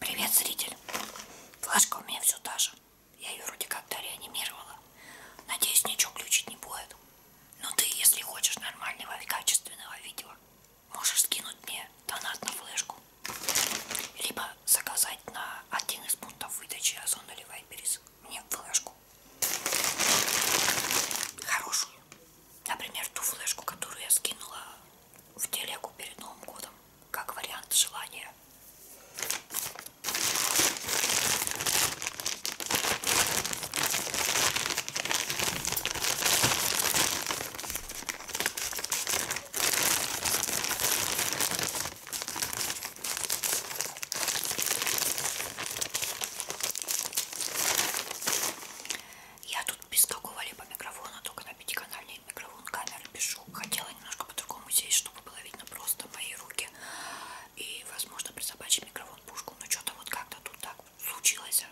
Привет, зритель. Флажка у меня все та же. Я ее вроде как-то реанимировала. Надеюсь, ничего глючить не будет. Но ты, если хочешь нормального и качественного видео, можешь скинуть мне донат на флешку. Либо заказать на один из пунктов выдачи Озона или Вайберис мне флешку. Хорошую. Например, ту флешку, которую я скинула в телегу перед Новым годом как вариант желания. Я тут без какого-либо микрофона, только на пятиканальной и в микрофон камеры пишу. Хотела немножко по-другому сесть, чтобы было видно просто мои руки. И, возможно, присобачить микрофон пушку. Но что-то вот как-то тут так случилось.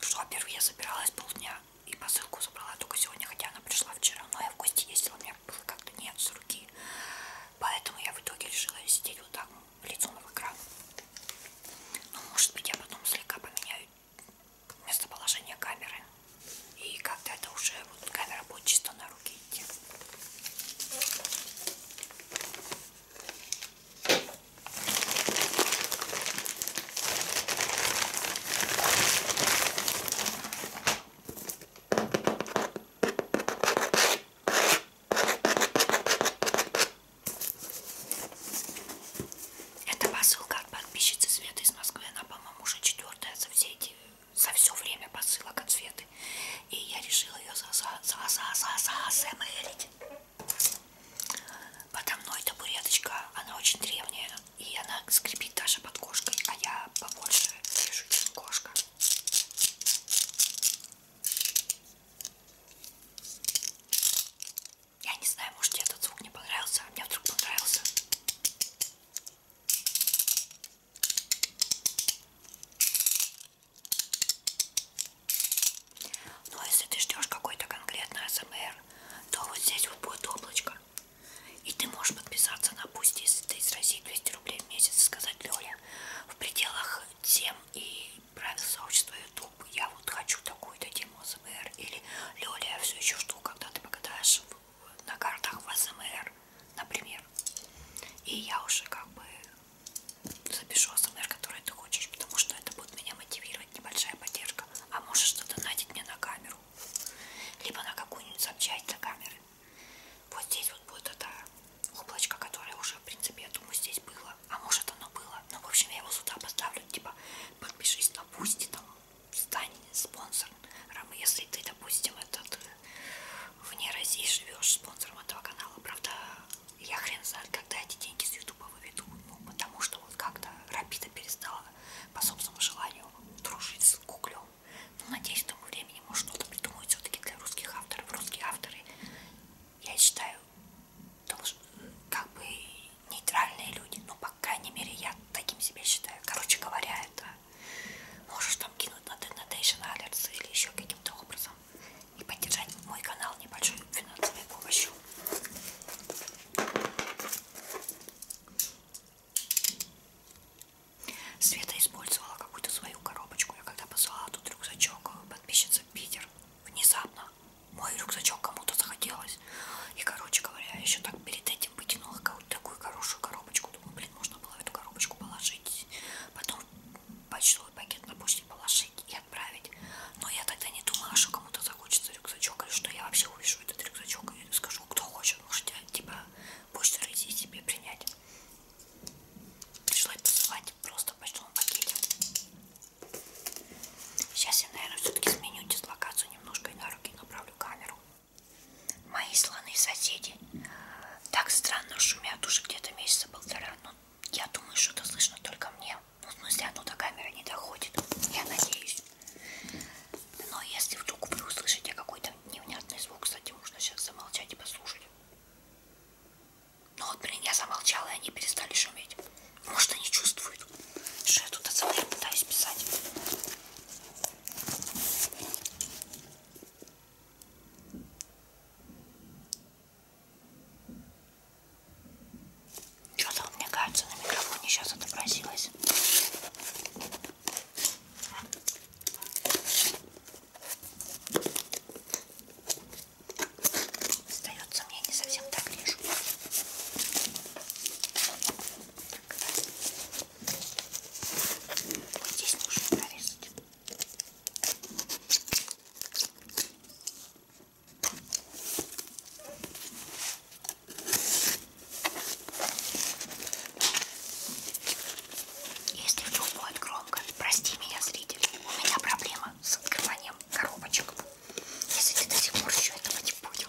Что, во-первых, я собиралась полдня и посылку забрала только сегодня, хотя она пришла вчера. Но я в гости ездила, у меня было как-то нет с руки. Поэтому я в итоге решила сидеть вот так лицом в экран. Ну, может быть, я потом слегка поменяю местоположение камеры. И когда это уже вот, камера будет чисто на руки идти. Это посылка от подписчицы Светы из Москвы. Она, по-моему, уже четвертая за все эти за все время посылок от Светы. И я решила ее за за за за за за Подо мной табуреточка, она очень древняя, и она скрипит даже под кошкой, а я побольше вижу, чем кошка. Я не знаю, может тебе этот звук не понравился, а мне вдруг понравился. Но ну, а если ты ждешь какой-то конкретный АСМР, то вот здесь вот будет облачко. И ты можешь подписаться на пусть, если ты из России 200 рублей в месяц, сказать Лёля, в пределах тем и правил сообщества YouTube я вот хочу такую-то тему АСМР или Лёля, все еще жду, когда ты покатаешь в, на картах в АСМР, например. И я уже как бы запишу АСМР, который ты хочешь, потому что это будет меня мотивировать, небольшая поддержка. А можешь что-то найти мне на камеру, либо на какую-нибудь запчасть для камеры. Вот здесь вот будет это облачко, которое уже, в принципе, я думаю, здесь было. А может оно было. Ну, в общем, я его сюда поставлю, типа, подпишись на пусть там стань спонсором, если ты, допустим, этот вне России живешь спонсором этого канала. Правда, я хрен знает, когда эти деньги с Ютуба выведу, ну, потому что вот как-то Рапида перестала по собственному желанию дружить с Гуглем. Ну, надеюсь, в тому времени, может, что-то придумают все-таки для русских авторов. Русские авторы, я считаю, должны, как бы нейтральные люди, ну, по крайней мере, я таким себе считаю, короче говоря, это можешь там кинуть на Denation Alerts или еще каким-то образом и поддержать мой канал небольшой финансовой помощью. Света использовала какую-то свою коробочку. Я когда посылала тут рюкзачок, э, подписчица в Питер, внезапно мой рюкзачок кому-то захотелось. И, короче говоря, еще так перед этим потянула какую-то такую хорошую коробочку. Думаю, блин, можно было в эту коробочку положить. Потом почтовый пакет на почте положить и отправить. Но я тогда не думала, что кому-то захочется рюкзачок, или что я вообще увижу этот рюкзачок и скажу, кто хочет, можете, типа, почту идти себе принять. Пришлось посылать просто в почтовом пакете. Сейчас я, наверное, все-таки сменю дислокацию немножко и на руки направлю камеру. Мои слоны-соседи так странно шумят уже где-то месяца полтора. Ну, я думаю, что это слышно только мне. Ну, в смысле, оно до камеры не доходит. Я надеюсь. Но если вдруг вы услышите какой-то невнятный звук, кстати, можно сейчас замолчать и послушать. Ну вот, блин, я замолчала, и они перестали шуметь. Может, они чувствуют. Что я тут АЦП пытаюсь писать? Что-то мне кажется на микрофоне сейчас отобразилось. Остается мне не совсем так лишь. Вот здесь нужно прорезать. Если вдруг будет громко, прости меня, зритель, у меня проблема с открыванием коробочек, если ты до сих пор еще этого не понял.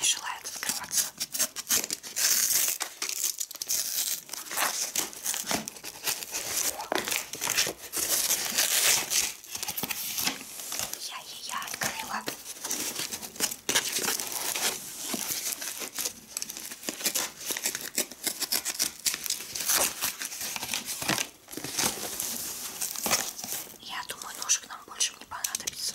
не желает открываться. Я ее открыла. Я думаю, ножик нам больше не понадобится.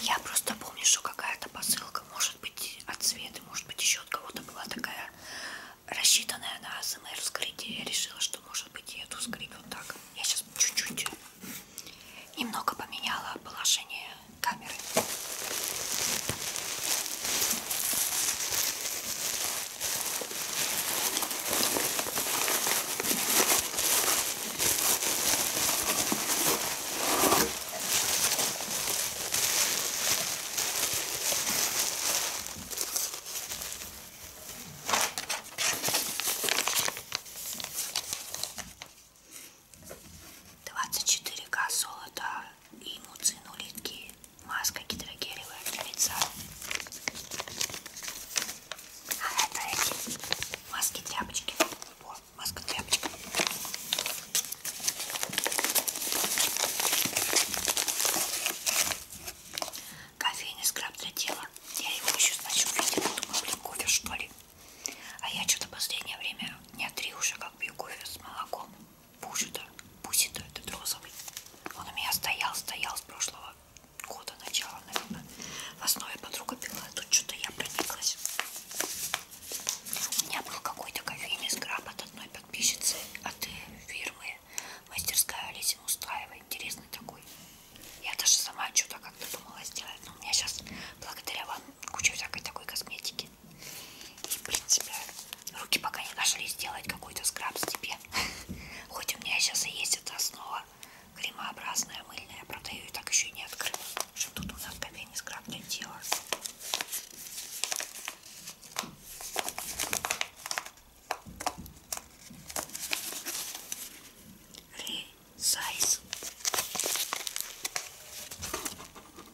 Я просто помню, что какая-то посылка, может быть, от Светы, может быть, еще от кого-то была такая рассчитанная на АСМР вскрытие. Я решила, что, может быть, и эту вскрыть вот так. Я сейчас чуть-чуть немного поменяла положение камеры. 24К золота и муцин улитки. Маска гидрогелевая для лица. А это эти маски-тряпочки. О, маска-тряпочка. Кофейный скраб для тела. Я его еще, значит, увидела. Думаю, блин, кофе, что ли? А я что-то последнее время дня три уже как пью кофе с молоком. Пушида. Пусида этот розовый. Он у меня стоял, стоял с прошлого года, начала, наверное. В основе подруга пила, а тут что-то я прониклась. У меня был какой-то кофейный скраб от одной подписчицы от фирмы мастерская Олеся Мустаева. Интересный такой. Я даже сама что-то как-то думала сделать. Но у меня сейчас благодаря вам куча всякой такой косметики руки. И, в принципе, руки пока не нашли сделать какой-то скраб себе. Хоть у меня сейчас и есть эта основа кремообразная, мыльная. Правда, я ее так еще и не открыла. Что тут у нас кофейный скраб для тела. Ресайз.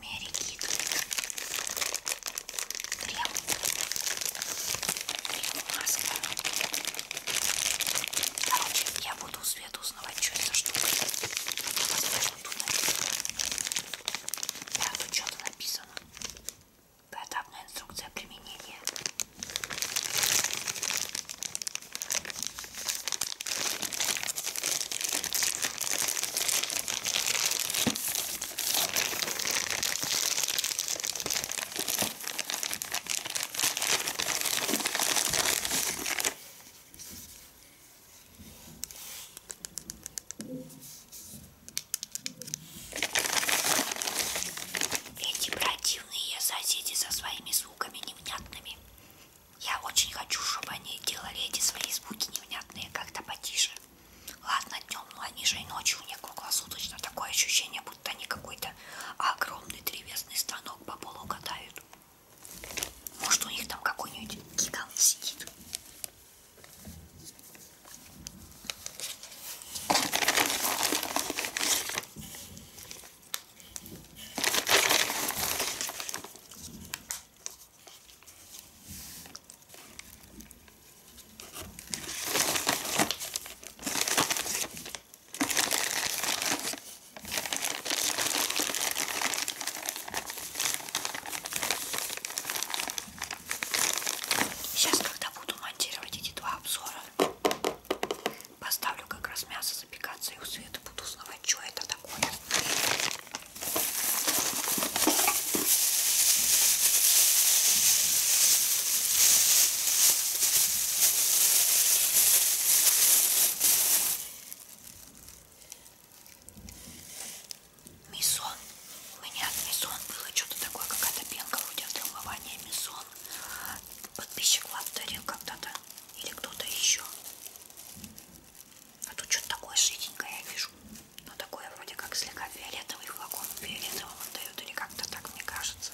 Мэри Кит крем крем маска короче я буду свет узнавать что это за штука возможно тут написано да тут что-то написано поэтапная инструкция применения эти противные соседи со своими звуками невнятными я очень хочу, чтобы они делали эти свои звуки невнятные как-то потише. Ладно, днем, но ну, они же и ночью у них круглосуточно. Такое ощущение, будто они какой-то огромный древесный станок по полу катают. Может, у них там какой-нибудь гигант сидит. Сейчас, когда буду монтировать эти два обзора, поставлю как раз мясо запекаться и у Светы буду узнавать, что это такое. Мисон. У меня мисон было что-то такое, какая-то пенка вроде для умывания мисон. Подписчик вам дарил когда-то или кто-то еще. А тут что-то такое жиденькое я вижу. Но ну, такое вроде как слегка фиолетовый флакон. Фиолетовым отдают или как-то так, мне кажется.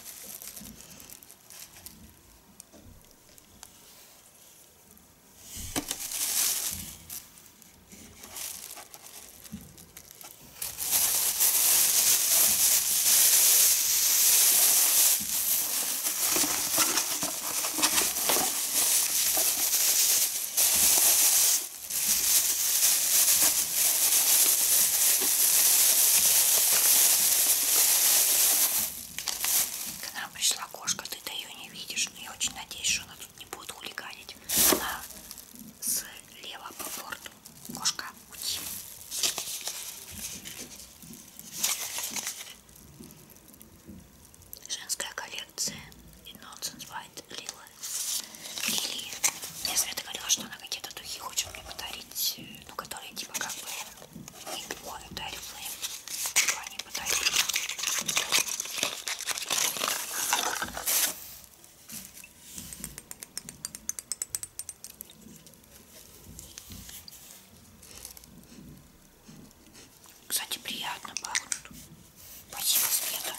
К нам пришла кошка, ты-то ее не видишь, но я очень надеюсь, что она тут не будет хулиганить. Она слева по борту. Кошка, уйди женская коллекция и Nonsense White Lila. Лилии. Я Света говорила, что она какие-то духи хочет мне подарить, э, ну, которые типа как бы не пьют, да, рифлейм. Типа они подарили. Кстати, приятно пахнут. Спасибо, Света.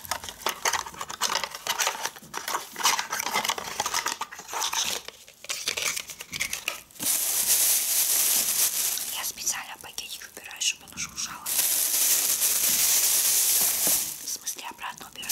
Я специально пакетик убираю, чтобы оно шуршало. В смысле, обратно убираю.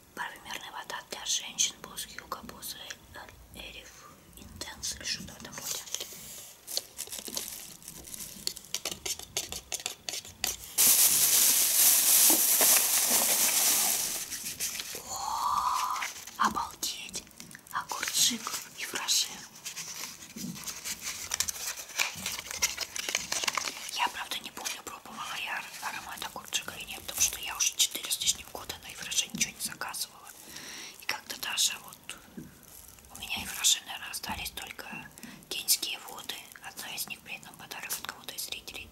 парфюмерная вода для женщин босс юга босс эриф интенс или что-то в этом роде О, обалдеть огурчик и фраши я правда не помню пробовала я аромат огурчика и нет, потому что я уже 4 с лишним года на Ивраже ничего не заказывала. И как-то даже вот у меня Ивраже, наверное, остались только кенские воды. Одна из них при этом подарок от кого-то из зрителей.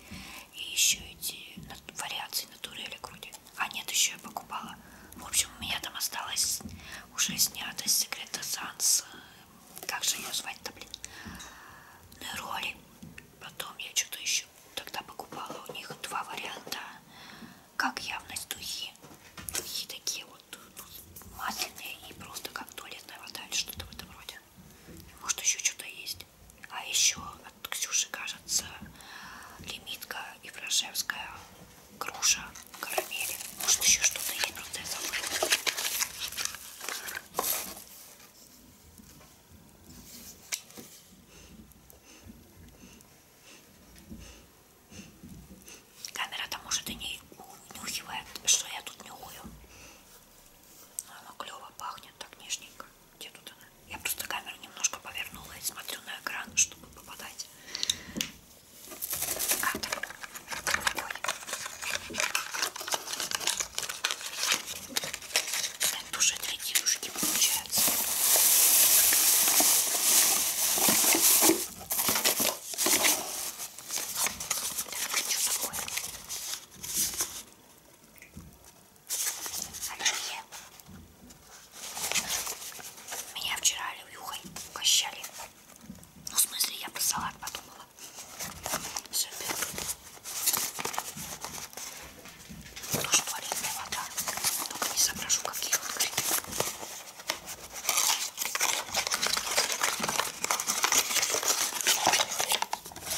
И еще эти вариации натурели груди. А нет, еще я покупала. В общем, у меня там осталось уже снято с секрета Санс. Как же ее звать-то, блин? Роли Потом я что-то еще тогда покупала у них два варианта. Как явность духи. Духи такие вот ну, масляные и просто как туалетная вода или что-то в этом роде. Может еще что-то есть. А еще от Ксюши, кажется, лимитка и фрошевская груша в карамели. Может еще что-то есть, просто я забыла. Камера там может и не унюхивает, что я тут нюхаю. Но она клево пахнет, так нежненько. Где тут она? Я просто камеру немножко повернула и смотрю на экран, чтобы попадать. А, Кадр. Ой. Это уже две девушки получается. Так, а что такое? Анархия. Ну Меня вчера оливьюхой угощали. Ну, в смысле, я про салат подумала. Супер. Тоже туалетная вода. Только не соображу, как ее открыть.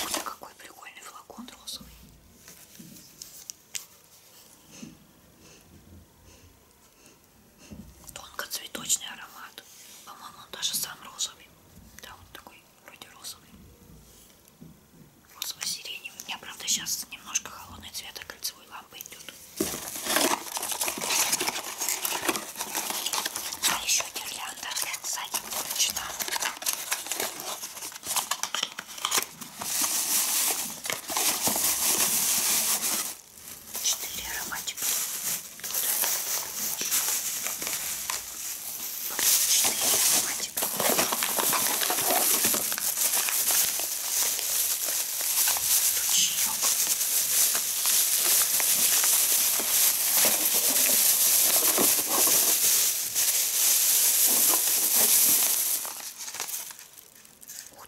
Вот какой прикольный флакон розовый. Тонко цветочный аромат. По-моему, он даже сам розовый. Да, вот такой вроде розовый. Розово-сиреневый. У меня, правда, сейчас немножко холодный цвет от а кольцевой лампы идет. А еще гирлянда сзади поручена. Четыре ароматика. Вот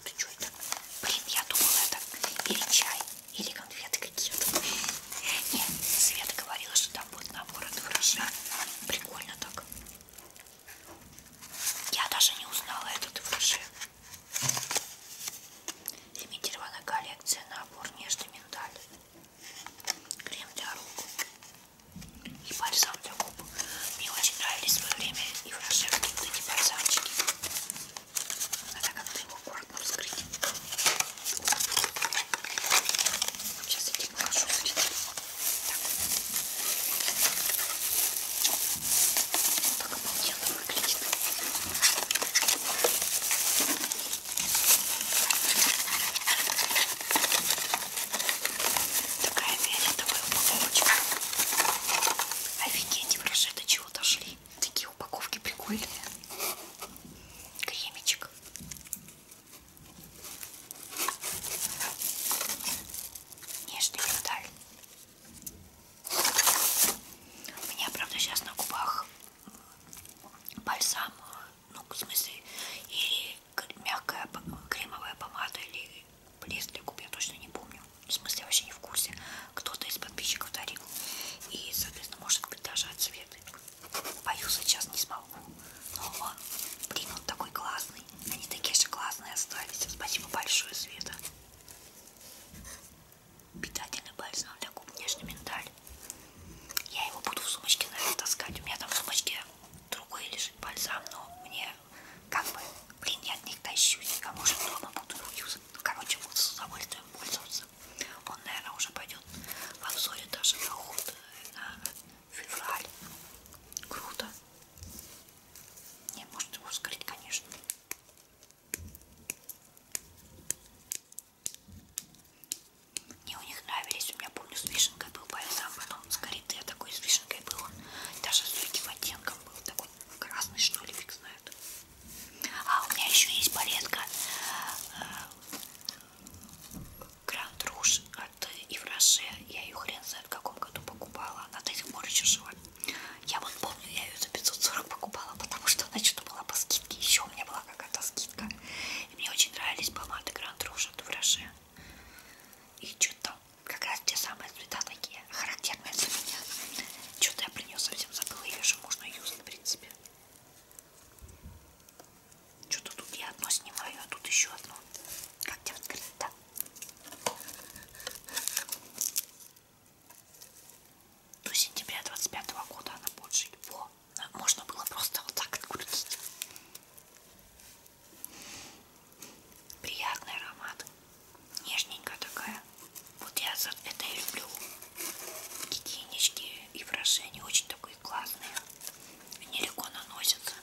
что это? Блин, я думала это или чай, или конфеты какие-то. Нет, Света говорила, что там вот на ворот хорошо. Прикольно так. Я даже не узнала этот фуршет. Лимитированная коллекция набор нежный миндаль. Крем для рук и бальзам для губ. Мне очень нравились в свое время и фуршет, и вот эти бальзамчики. Надо как-то его аккуратно вскрыть. Сейчас эти положу, смотрите. Так. так обалденно выглядит. Такая фиолетовая упаковочка. Офигеть, вражи до чего дошли. Такие упаковки прикольные. Кремичек. Нежный миндаль. У меня, правда, сейчас на губах бальзам, ну, в смысле, или мягкая кремовая помада, или блеск для губ, я точно не помню. В смысле, я вообще не в курсе. Кто-то из подписчиков дарил. И, соответственно, может быть, даже от цвета. Пою сейчас не смогу. Но ну, он, блин, он такой классный. Они такие же классные остались. Спасибо большое, Света. Питательный бальзам для губ, нежный миндаль. Я его буду в сумочке, наверное, таскать. У меня там в сумочке другой лежит бальзам, но мне как бы, блин, я от них тащусь. Кому же дома буду юзать. Ну, короче, буду с удовольствием пользоваться. Он, наверное, уже пойдет в обзоре даже на уход наверное, э, февраль. Круто. Не, может его вскрыть, конечно. Мне у них нравились, у меня помню с вишенкой был бальзам, потом с коритой, я такой с вишенкой был, он даже с этим оттенком был, такой красный что ли, фиг знает. А у меня еще есть палетка э, Гранд Руж от Евроше. Я ее хрен знает в каком году покупала. Она до сих пор еще жива. Я вот помню, я ее за 540 покупала, потому что она что-то была по скидке. Еще у меня была какая-то скидка. И мне очень нравились помады Гранд Руж от Евроше. И что-то как раз те самые цвета такие характерные для меня. Что-то я про нее совсем забыла. Ее же можно юзать, в принципе. Что-то тут я одно снимаю, а тут еще одно. Как тебе открыть-то? До сентября 25 -го года она больше его. Можно было просто вот так открутить. Приятный аромат. Нежненькая такая. Вот я за это и люблю. Гигиенички и выражения. Очень такой такие классные. Они легко наносятся,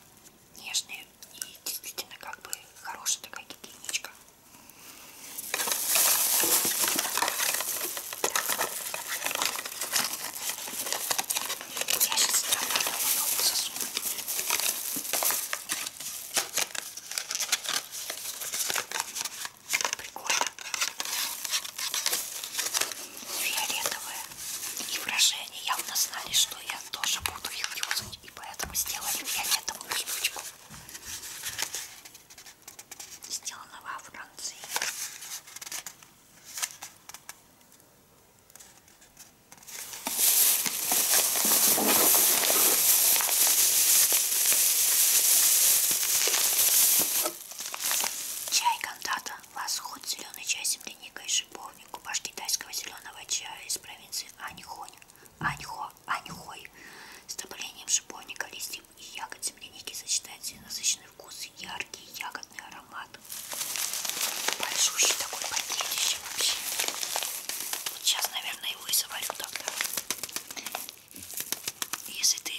нежные и действительно как бы хорошая такая гигиеничка. Я сейчас засуну. Прикольно фиолетовые. И выражения явно знали, что я тоже буду их юзать. И поэтому сделали фиолетовую штучку. Сделано во Франции. Чай кандата Восход, зеленый чай, земляника и шиповник, купаж китайского зеленого чая из провинции Аньхонь, Аньхо, Аньхой, с добавлением шиповника, листьев и ягод земляники сочетается насыщенный вкус и яркий ягодный аромат. Большущий такой пакетище вообще. Вот сейчас, наверное, его и заварю тогда. Если ты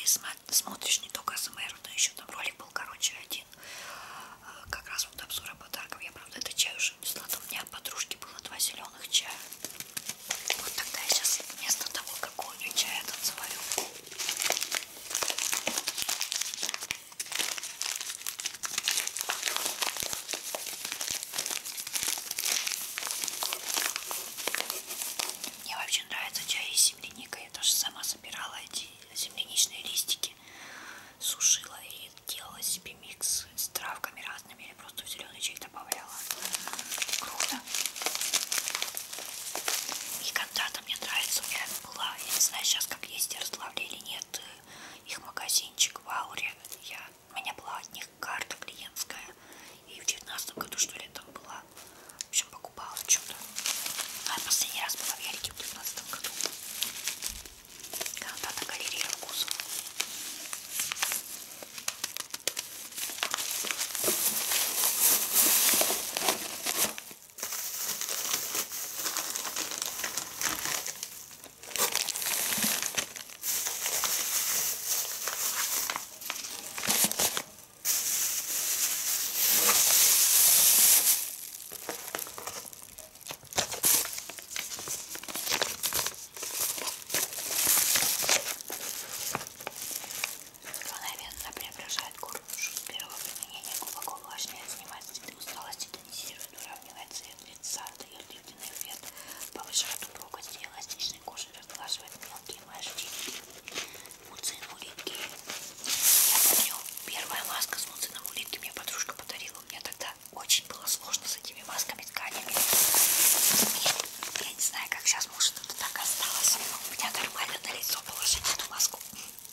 смотришь не только СМР, но еще там ролик был, короче, один. Э, как раз вот обзора подарков. Я, правда, это чай уже не слада. У меня от подружки было два зеленых чая. Вот тогда я сейчас вместо того, какой у нее чай, я танцеваю. Мне вообще нравится чай с земляникой. Я даже сама собирала эти земляничные листики сушила и делала себе микс с травками разными или просто в зеленый чай добавляла. Круто. И когда-то мне нравится, у меня была, я не знаю сейчас как есть, Ярославле или нет, э, их магазинчик в Ауре. Я, у меня была от них карта клиентская. И в девятнадцатом году, что ли, там была в общем, покупала что-то. А последний раз была в Ярике в 2015 году. Когда на галерее вкусов. Мгновенно преображает корпус с первого применения глубоко увлажняет, снимает цветы усталости, тонизирует, уравнивает цвет лица, дает дивный эффект, повышает упругость и эластичной кожи, разглаживает мелкие морщины муцином улитки. Я помню, первая маска с муцином улитки мне подружка подарила. Мне тогда очень было сложно с этими масками, тканями. Я, я не знаю, как сейчас, может, это так осталось. У меня нормально на лицо положить эту маску.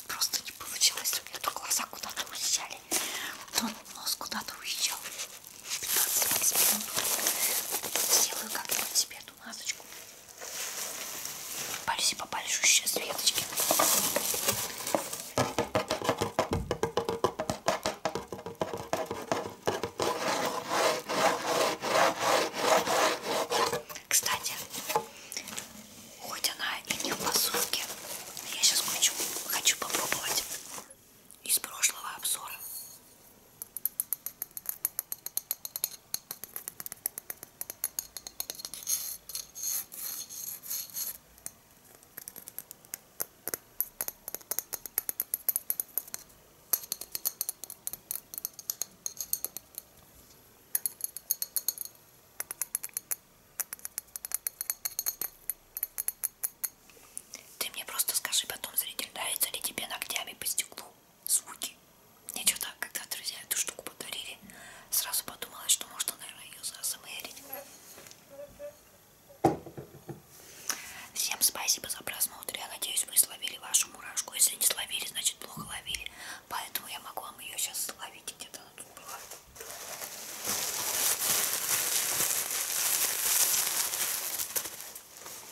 Просто не получилось. У меня то глаза куда-то уезжали, то нос куда-то уезжал. 15-20 минут. Сделаю как-нибудь себе эту масочку. Попались и попались сейчас веточки. Кстати, хоть она и не в посылке, я сейчас хочу, хочу попробовать из прошлого обзора. Ты мне просто скажи потом, зритель, нравится ли тебе ногтями по стеклу звуки мне что-то, когда друзья эту штуку подарили, сразу подумала, что можно, наверное, ее засмерить. Всем спасибо за просмотр. Я надеюсь, вы словили вашу мурашку. Если не словили, значит плохо ловили. Поэтому я могу вам ее сейчас словить где-то она тут была.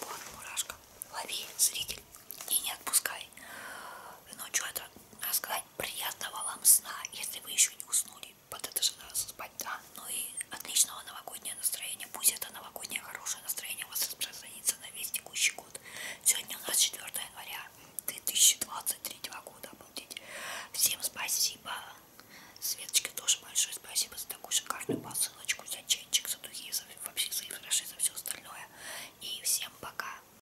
Вот мурашка. Лови, зритель, и не отпускай. Ночью ну, это а сказать приятного вам сна, если вы еще не уснули, под это же надо спать, да? Ну и отличного новогоднего настроения, пусть это новогоднее хорошее настроение у вас распространится на весь текущий год. Сегодня у нас 4 января 2023 года, обалдеть. Всем спасибо, Светочке тоже большое спасибо за такую шикарную посылочку, за чайчик, за духи, за вообще за и за все остальное. И всем пока.